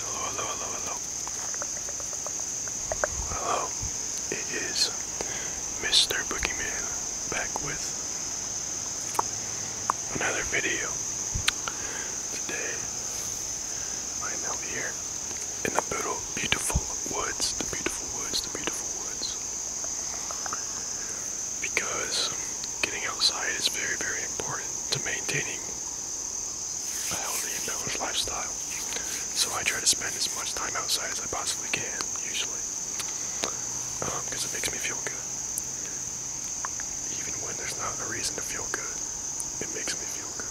Hello, hello, hello, hello. Hello, it is Mr. Boogeyman back with another video. Today I am out here in the poodle beautiful woods, the beautiful woods, the beautiful woods. Because getting outside is very, very important to maintaining a healthy balanced lifestyle. So I try to spend as much time outside as I possibly can, usually. Because um, it makes me feel good. Even when there's not a reason to feel good, it makes me feel good.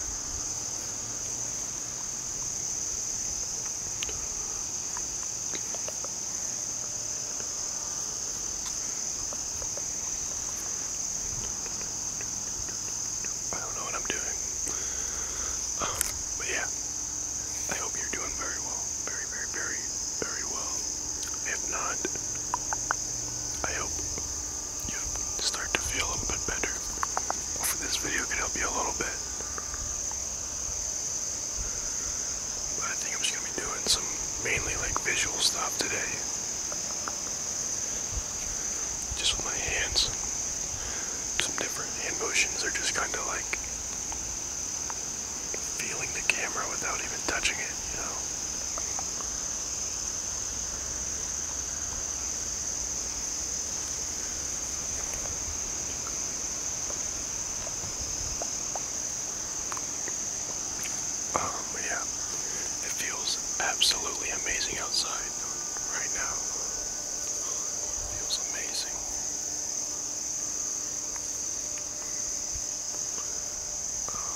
I don't know what I'm doing. Um, but yeah, I hope you're doing very well. Very, very, very, very well. If not, I hope you start to feel a little bit better. Hopefully, this video can help you a little bit. But I think I'm just going to be doing some mainly like visual stuff today. Just with my hands. Some different hand motions are just kind of like feeling the camera without even touching it, you know? Um, yeah, it feels absolutely amazing outside right now. feels amazing. Uh,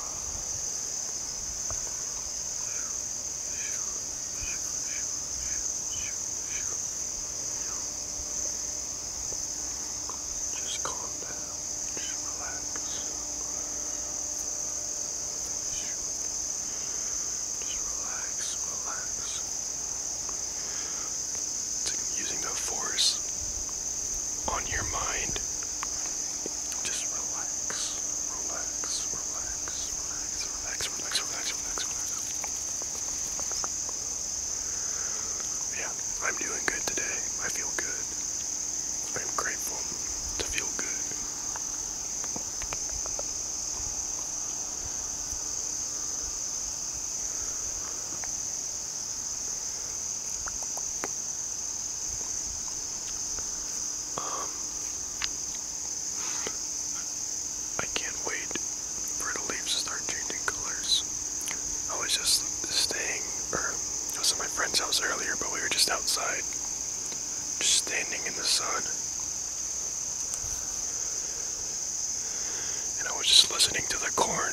just calm down. Just relax. Just relax, relax. using the force on your mind. Just relax, relax, relax, relax. Relax, relax, relax, relax, relax. Yeah, I'm doing good today. I feel good. I'm grateful to feel good. Um, I can't wait for the leaves to start changing colors. I was just staying, or I was at my friend's house earlier, but we were just outside, just standing in the sun. And I was just listening to the corn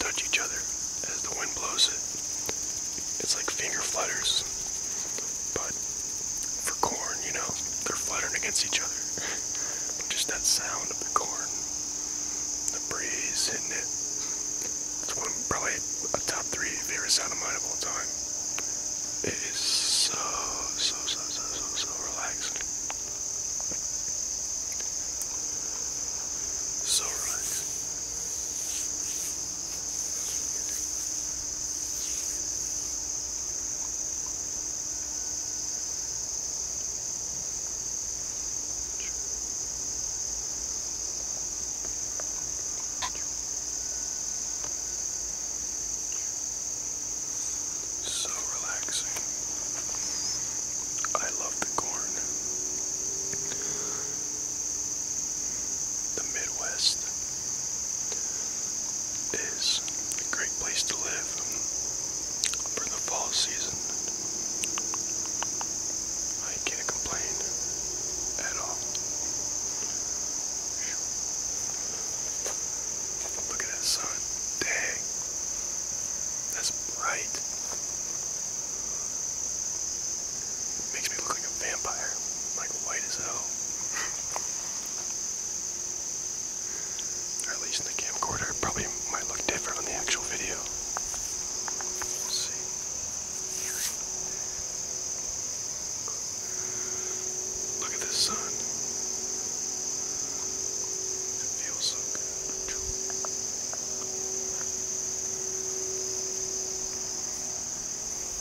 touch each other as the wind blows it. It's like finger flutters. But for corn, you know, they're fluttering against each other. but just that sound of the corn, the breeze hitting it. It's one of probably a top three favorite sound of mine of all time. It is so, so, so, so, so, so relaxing. So relaxing. So relaxing. I love the corn. The Midwest is a great place to live for the fall season. I can't complain at all. Look at that sun. Dang. That's bright. makes me look like a vampire. like white as hell. Or at least in the camcorder, it probably might look different on the actual video. We'll see. Look at the sun. It feels so good.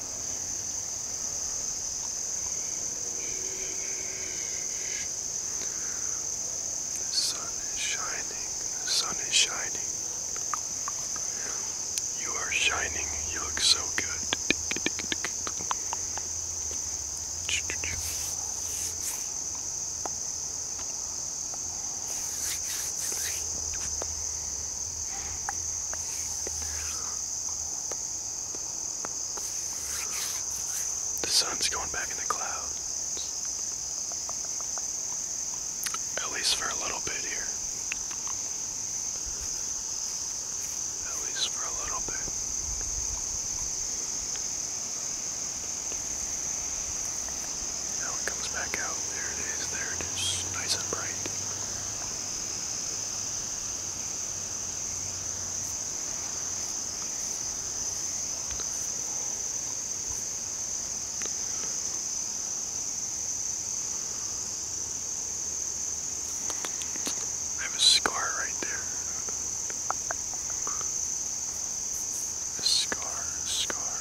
The sun is shining, the sun is shining. You are shining, you look so good. The sun's going back in the clouds. At least for a little bit here. At least for a little bit. Now it comes back out. There it is. There it is. Nice and bright. I have a scar right there. A scar, a scar.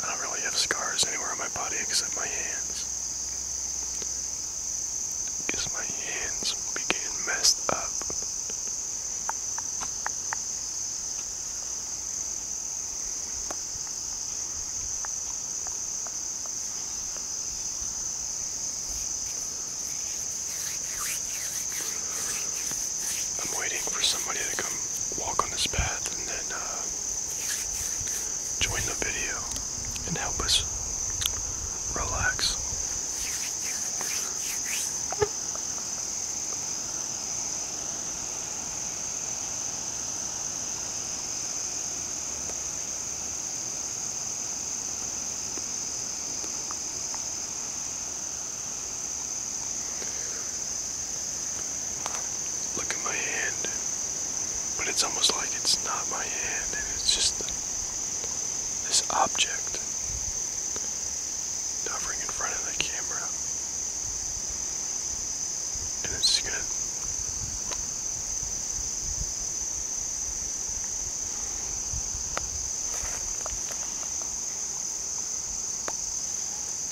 I don't really have scars anywhere on my body except my hands. Because my hands began messed up. I'm waiting for somebody to come walk this path and then uh, join the video and help us relax. Look at my hand. But it's almost like it's not my hand, and it's just this object hovering in front of the camera. it's going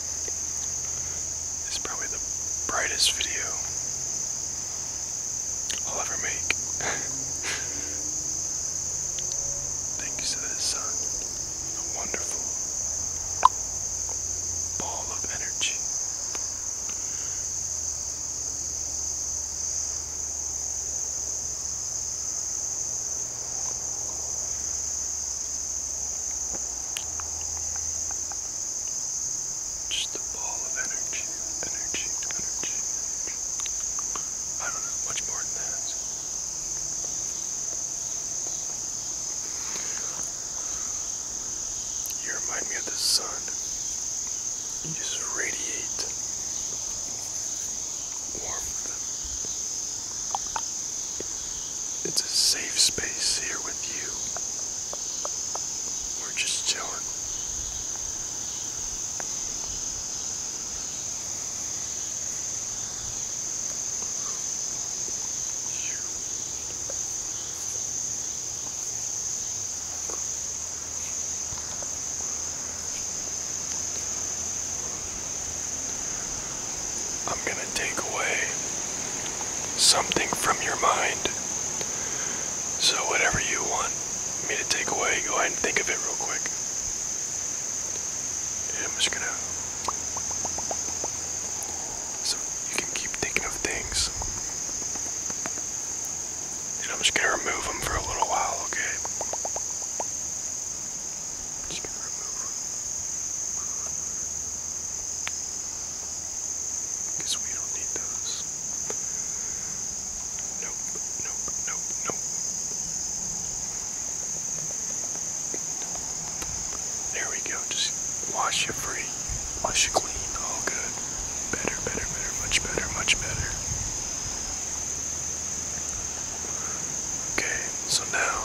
This is probably the brightest video I'll ever make. Thanks to the sun, a wonderful ball of energy. Just a ball of energy, energy, energy, energy. I don't know much more than that. You remind me of the sun. You just radiate warmth. It's a safe space here with you. We're just chilling. I'm gonna take away something from your mind. So, whatever you want me to take away, go ahead and think of it real quick. And I'm just gonna. So, you can keep thinking of things. And I'm just gonna remove them for a little while, okay? Just because we don't need those. Nope, nope, nope, nope. There we go. Just wash you free. Wash you clean. All good. Better, better, better. Much better, much better. Okay, so now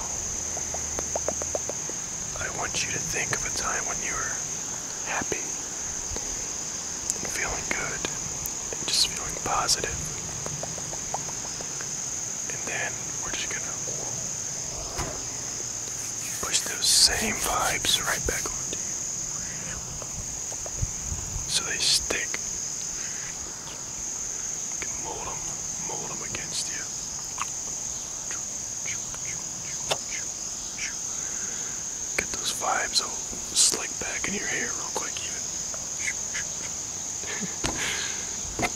I want you to think of a time when you were happy and feeling good and just feeling And then we're just gonna push those same vibes right back onto you. So they stick. mold them, mold them against you. Get those vibes all slick back in your hair real quick even. and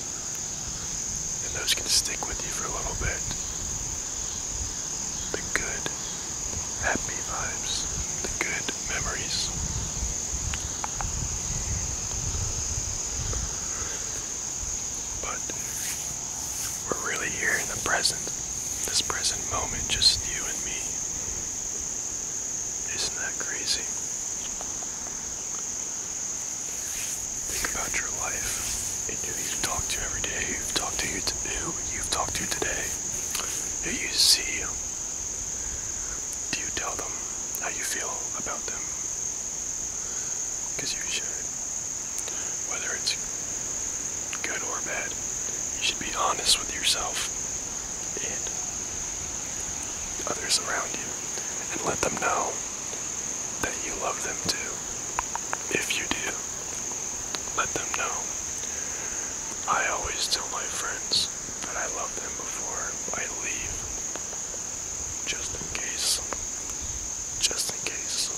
those can stick with you for a little bit. The good, happy vibes, the good memories. But we're really here in the present, this present moment, just you and me. Isn't that crazy? Think about your life and who you talk to every day, you've talked to, you to who you've to today, who you see. Do you tell them how you feel about them? Because you should whether it's good or bad. You should be honest with yourself and others around you and let them know that you love them too. If you do, let them know. I always tell my friends that I love them before I leave just in case. Just in case.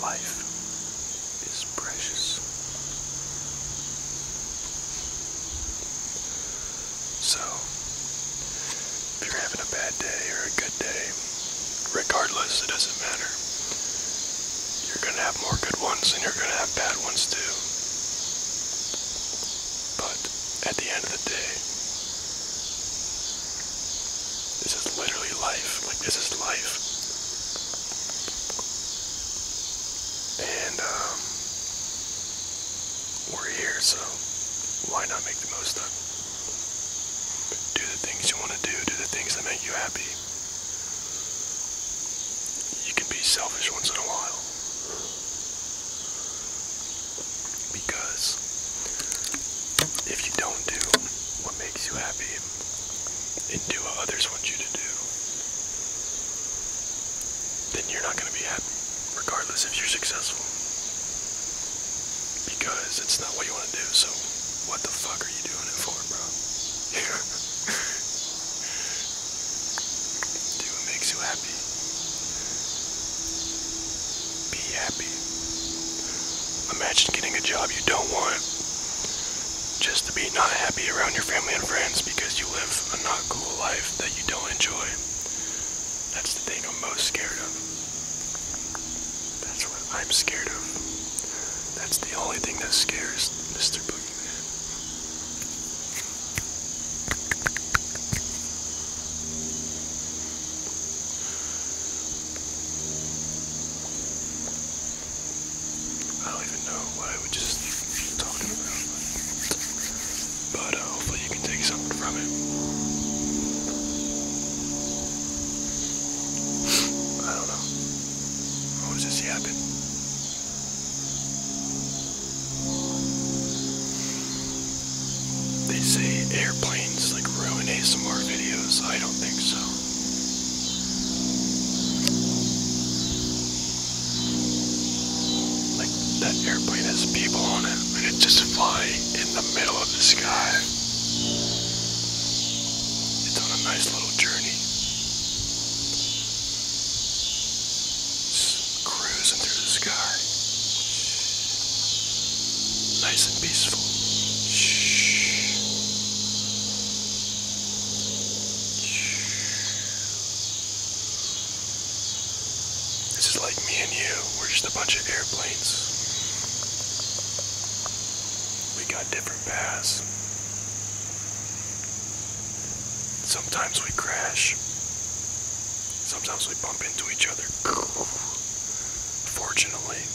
Life is precious. So, if you're having a bad day or a good day, regardless, it doesn't matter. You're gonna have more good ones and you're gonna have bad ones too. But at the end of the day, this is literally life. Like, this is life. And, um, we're here, so why not make the most of it? Do the things you want to do, do the things that make you happy. You can be selfish once in a while. Because if you don't do what makes you happy and do what others want you to do, then you're not going to be happy regardless if you're successful. Because it's not what you want to do, so what the fuck are you doing it for, bro? do what makes you happy. Be happy. Imagine getting a job you don't want just to be not happy around your family and friends because you live a not cool life that you don't enjoy. That's the thing I'm most scared of. That's what I'm scared of. That's the only thing that scares Mr. Boogeyman. I don't even know what I was just talking about but uh, hopefully you can take something from it. I don't know. What was this yapping? They say airplanes like ruin ASMR videos. I don't think so. Like that airplane has people on it and it just flies in the middle of the sky. It's on a nice little journey. It's cruising through the sky. Nice and peaceful. This is like me and you. We're just a bunch of airplanes. We got different paths. Sometimes we crash. Sometimes we bump into each other. Fortunately,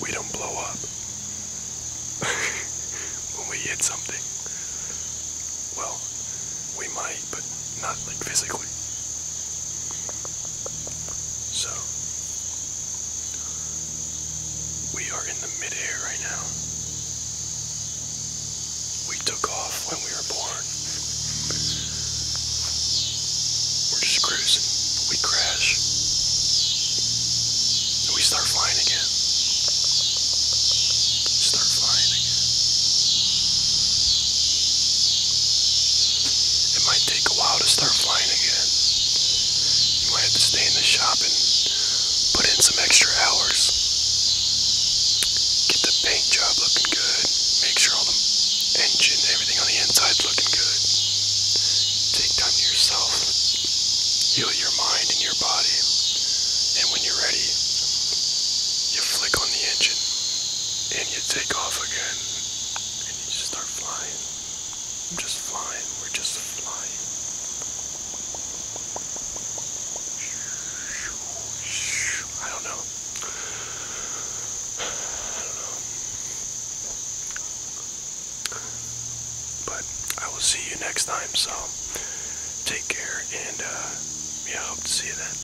we don't blow up when we hit something. Well, we might but not like physically. So we are in the midair right now. We took off when we were born. We're just cruising. We crash. And we start flying again. Start flying again. It might take a while to start flying again. You might have to stay in the shop and put in some extra hours. Get the paint job looking good. Make sure all the engine, everything on the inside, is looking good. Take time to yourself. Heal your mind and your body. And when you're ready, you flick on the engine and you take off again. and you just start flying. I'm just flying. We're just flying. I don't know. I don't know. But I will see you next time, so take care and uh, yeah, I hope to see you then.